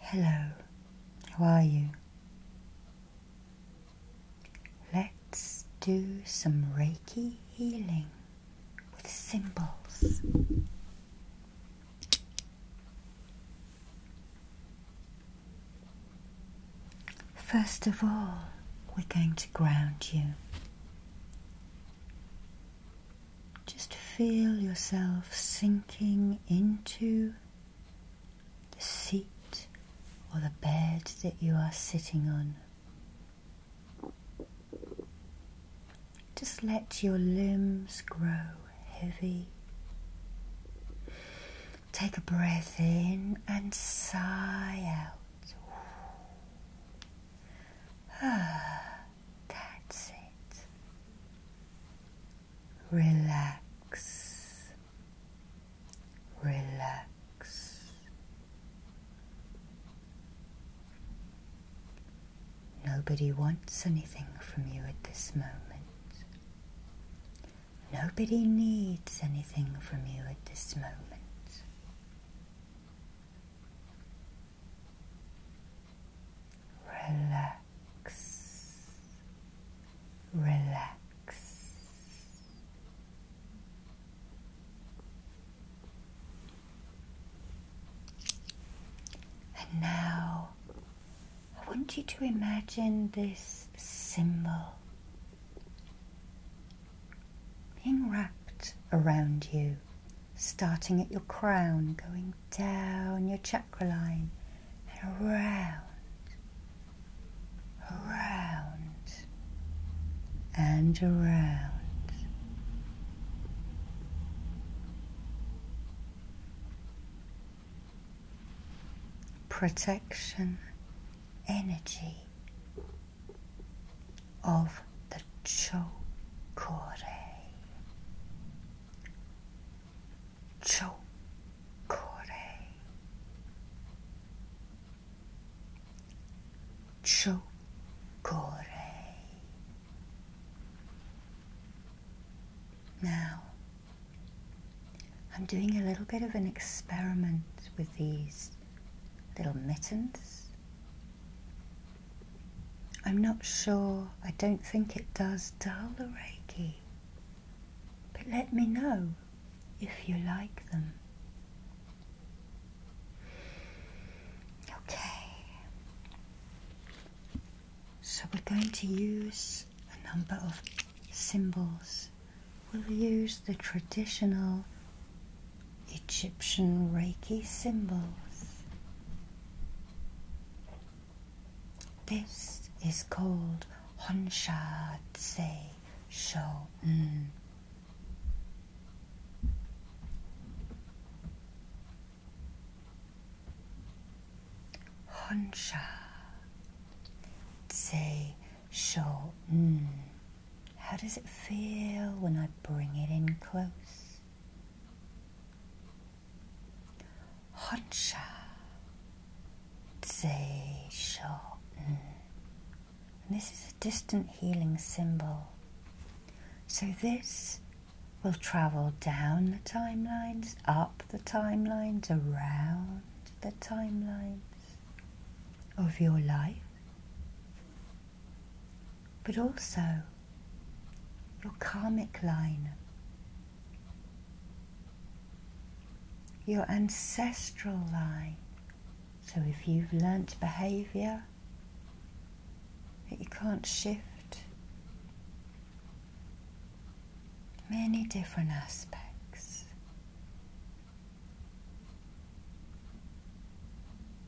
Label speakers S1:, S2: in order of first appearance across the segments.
S1: Hello, how are you? Let's do some Reiki healing with symbols. First of all, we're going to ground you. Just feel yourself sinking into the seat or the bed that you are sitting on. Just let your limbs grow heavy. Take a breath in and sigh out. Ah. That's it. Relax, relax. Nobody wants anything from you at this moment. Nobody needs anything from you at this moment. Relax, relax. And now I want you to imagine this symbol being wrapped around you starting at your crown, going down your chakra line around, around, and around. Protection energy of the Chokore. Chokore. Chokore. Now, I'm doing a little bit of an experiment with these little mittens I'm not sure, I don't think it does dull the Reiki, but let me know if you like them. Okay, so we're going to use a number of symbols. We'll use the traditional Egyptian Reiki symbols. This is called Honsha Tse Shou. Mm. Honsha Tse Shou. Mm. How does it feel when I bring it in close? Honcha Zei this is a distant healing symbol. So this will travel down the timelines, up the timelines, around the timelines of your life but also your karmic line, your ancestral line. So if you've learnt behaviour that you can't shift, many different aspects.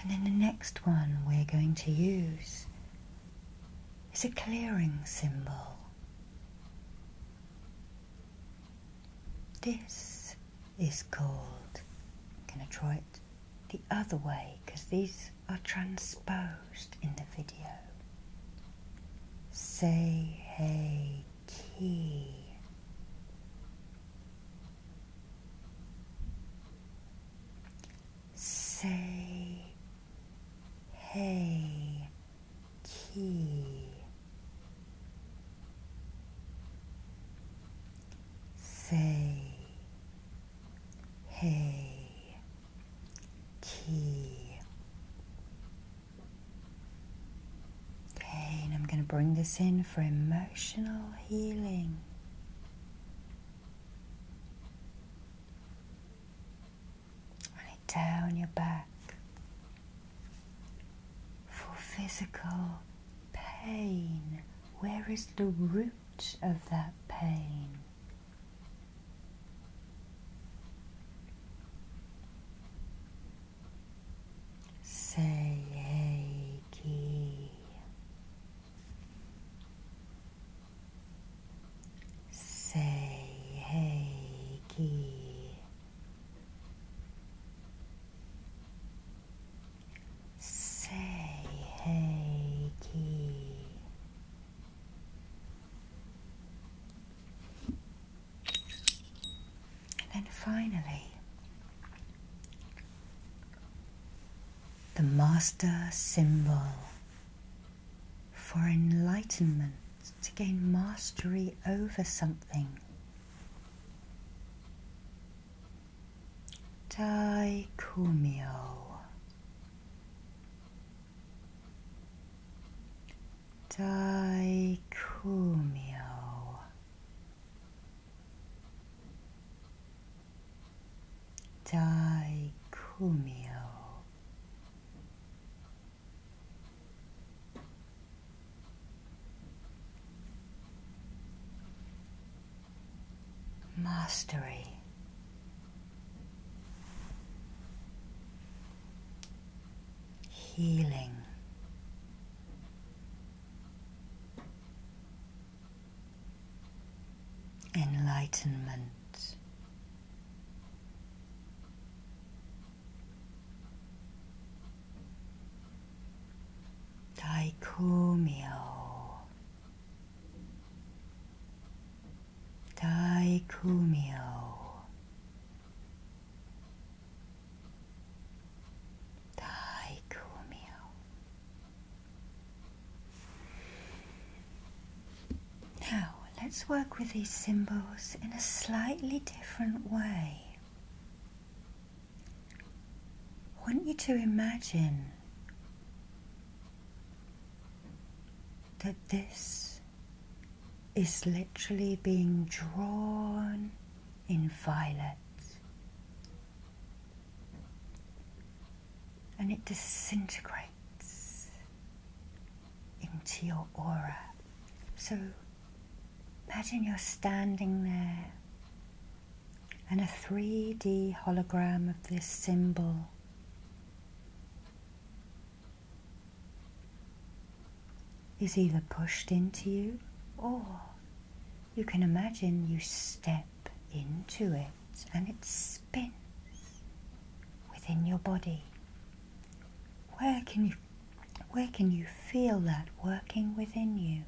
S1: And then the next one we're going to use is a clearing symbol. This is called, i going to try it the other way because these are transposed in the video. Say hey key. Say hey key. Say hey key. Okay, and I'm going to bring this in for emotional healing down your back for physical pain. Where is the root of that pain? Say, hey, Say Say hey, hey, Seiki. And then finally, the master symbol for enlightenment, to gain mastery over something. Tai Kumio. Tai Kumio. Daikumyo. Mastery. Healing enlightenment. Daikumyo. Daikumyo. Now let let's work with these symbols in a slightly different way. I want you to imagine that this is literally being drawn in violet and it disintegrates into your aura. So imagine you're standing there and a 3D hologram of this symbol is either pushed into you or you can imagine you step into it and it spins within your body. Where can you where can you feel that working within you?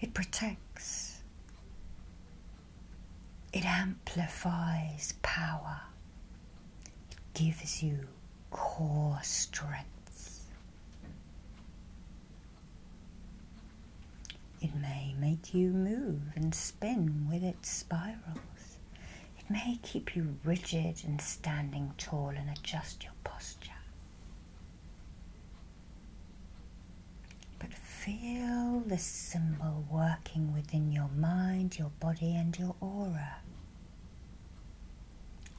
S1: It protects. It amplifies power. It gives you core strength. It may make you move and spin with its spirals. It may keep you rigid and standing tall and adjust your posture. But feel the symbol working within your mind, your body, and your aura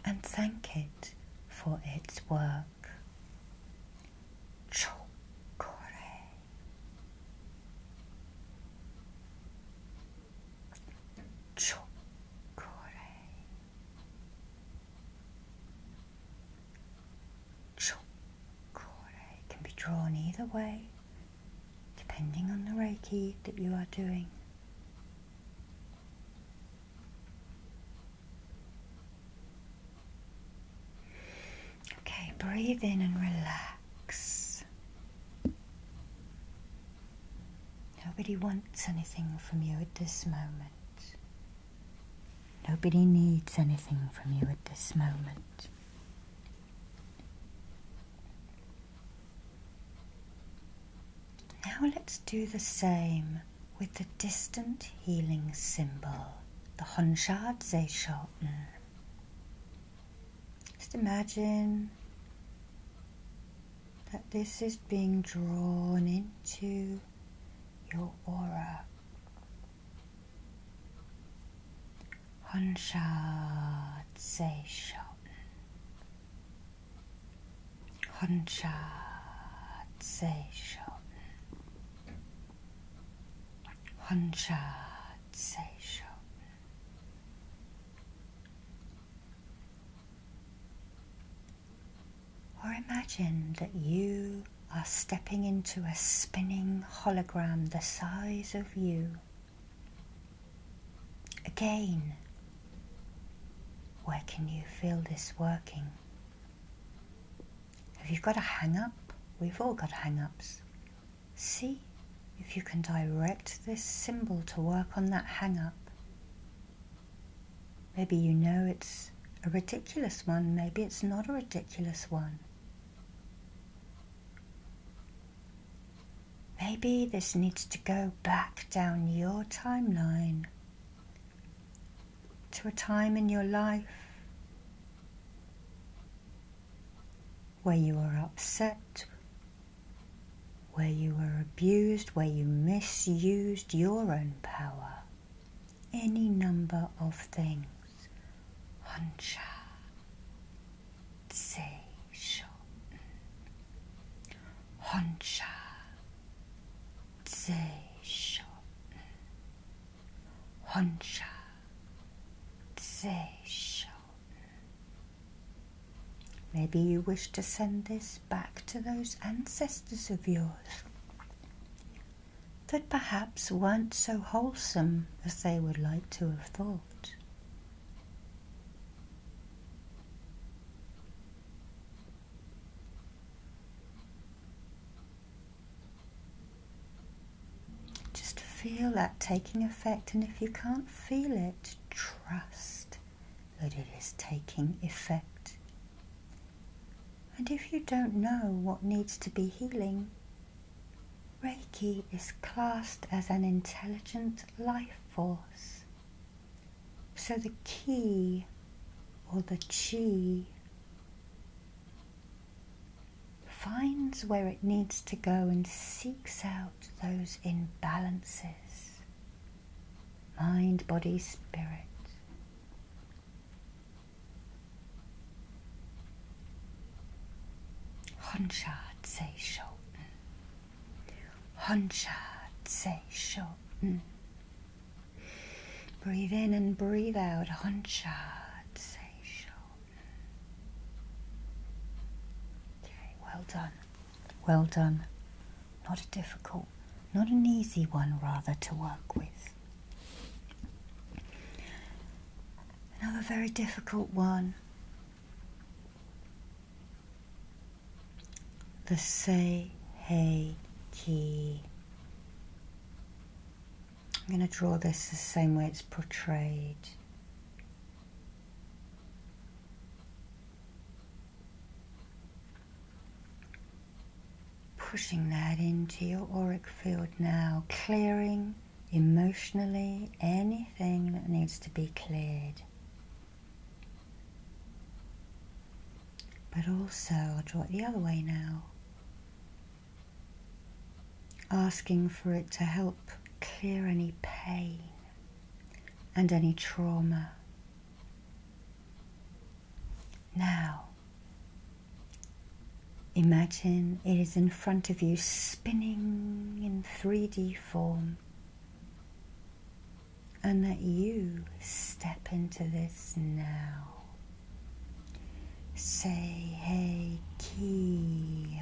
S1: and thank it for its work. Chokore. Chokore. Chokore can be drawn either way depending on the Reiki that you are doing. Okay, breathe in and relax. Nobody wants anything from you at this moment. Nobody needs anything from you at this moment. Now let's do the same with the distant healing symbol, the Honshad Zeishoten. Just imagine that this is being drawn into your aura say say Honshatsation. say Honshatsation. Or imagine that you are stepping into a spinning hologram the size of you Again, where can you feel this working? Have you got a hang up? We've all got hang ups. See if you can direct this symbol to work on that hang up. Maybe you know it's a ridiculous one, maybe it's not a ridiculous one. Maybe this needs to go back down your timeline to a time in your life where you were upset, where you were abused, where you misused your own power, any number of things. 혼자 세션 혼자 세션 혼자 세션 Maybe you wish to send this back to those ancestors of yours that perhaps weren't so wholesome as they would like to have thought. Just feel that taking effect, and if you can't feel it, trust that it is taking effect. And if you don't know what needs to be healing, Reiki is classed as an intelligent life force. So the ki or the chi finds where it needs to go and seeks out those imbalances mind, body, spirit. Honshad se shoten. Honshad se shoten. Breathe in and breathe out. Honshad se shoten. Okay, well done. Well done. Not a difficult, not an easy one rather to work with. Another very difficult one. The say hey Ki. I'm going to draw this the same way it's portrayed. Pushing that into your auric field now, clearing emotionally, anything that needs to be cleared. But also, I'll draw it the other way now, asking for it to help clear any pain and any trauma. Now, Imagine it is in front of you, spinning in 3D form, and that you step into this now. Say, hey, key.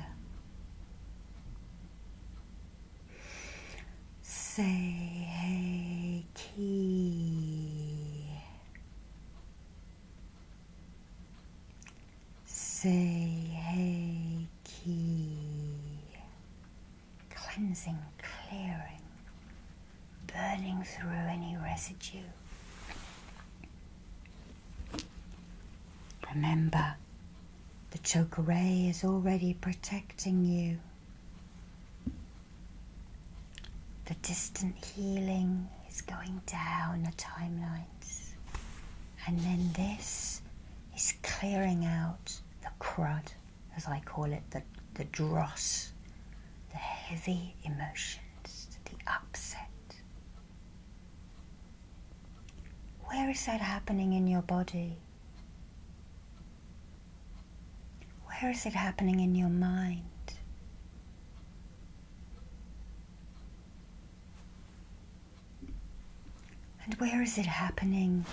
S1: Say, hey, key. Seihei Ki, cleansing, clearing, burning through any residue. Remember, the ray is already protecting you. The distant healing is going down the timeline. And then this is clearing out the crud, as I call it, the, the dross, the heavy emotions, the upset. Where is that happening in your body? Where is it happening in your mind? And where is it happening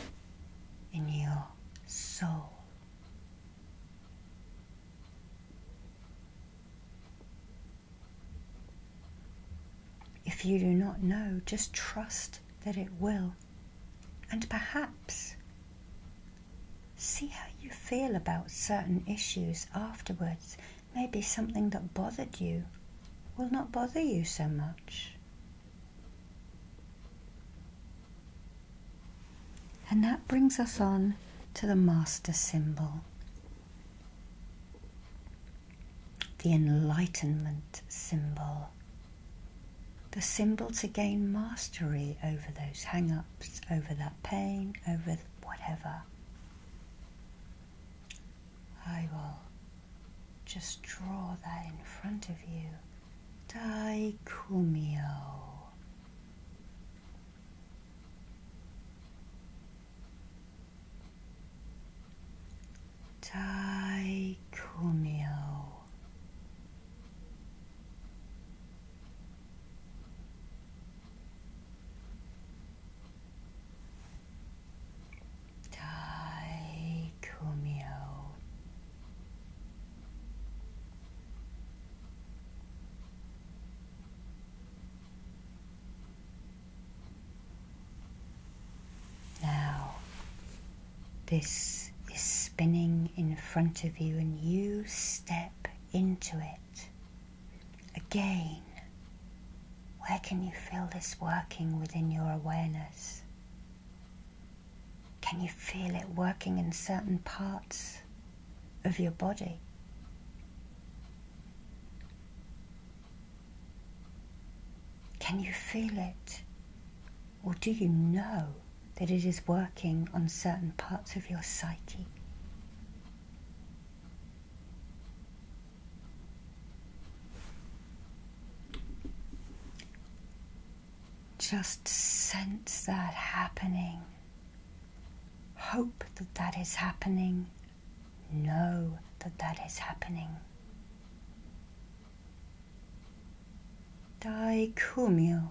S1: in your soul? If you do not know, just trust that it will. And perhaps see how you feel about certain issues afterwards maybe something that bothered you will not bother you so much. And that brings us on to the master symbol, the enlightenment symbol, the symbol to gain mastery over those hang ups, over that pain, over whatever. I will just draw that in front of you. Daikumio. Daikumio. Now, this is spinning in front of you, and you step into it. Again, where can you feel this working within your awareness? Can you feel it working in certain parts of your body? Can you feel it? Or do you know that it is working on certain parts of your psyche? Just sense that happening. Hope that that is happening. Know that that is happening. Daikumyo.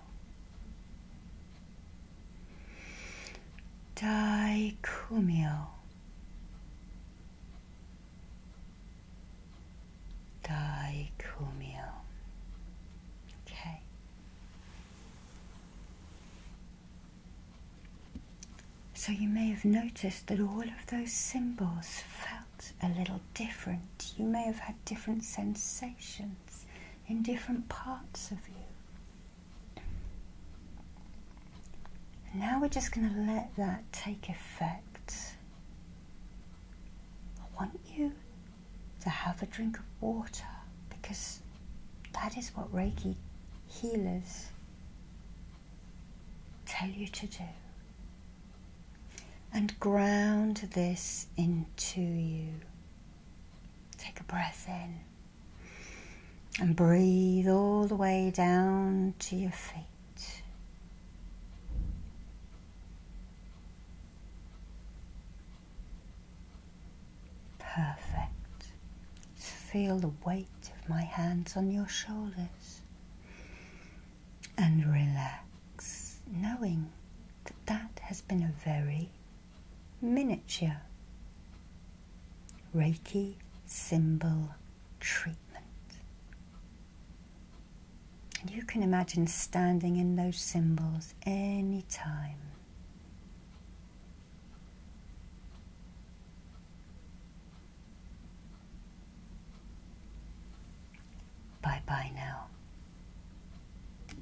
S1: Daikumyo. Daikumyo. Okay. So you may have noticed that all of those symbols felt a little different. You may have had different sensations in different parts of you. now we're just going to let that take effect. I want you to have a drink of water because that is what Reiki healers tell you to do. And ground this into you. Take a breath in and breathe all the way down to your feet. Perfect. feel the weight of my hands on your shoulders and relax, knowing that that has been a very miniature Reiki symbol treatment. you can imagine standing in those symbols anytime. Bye bye now.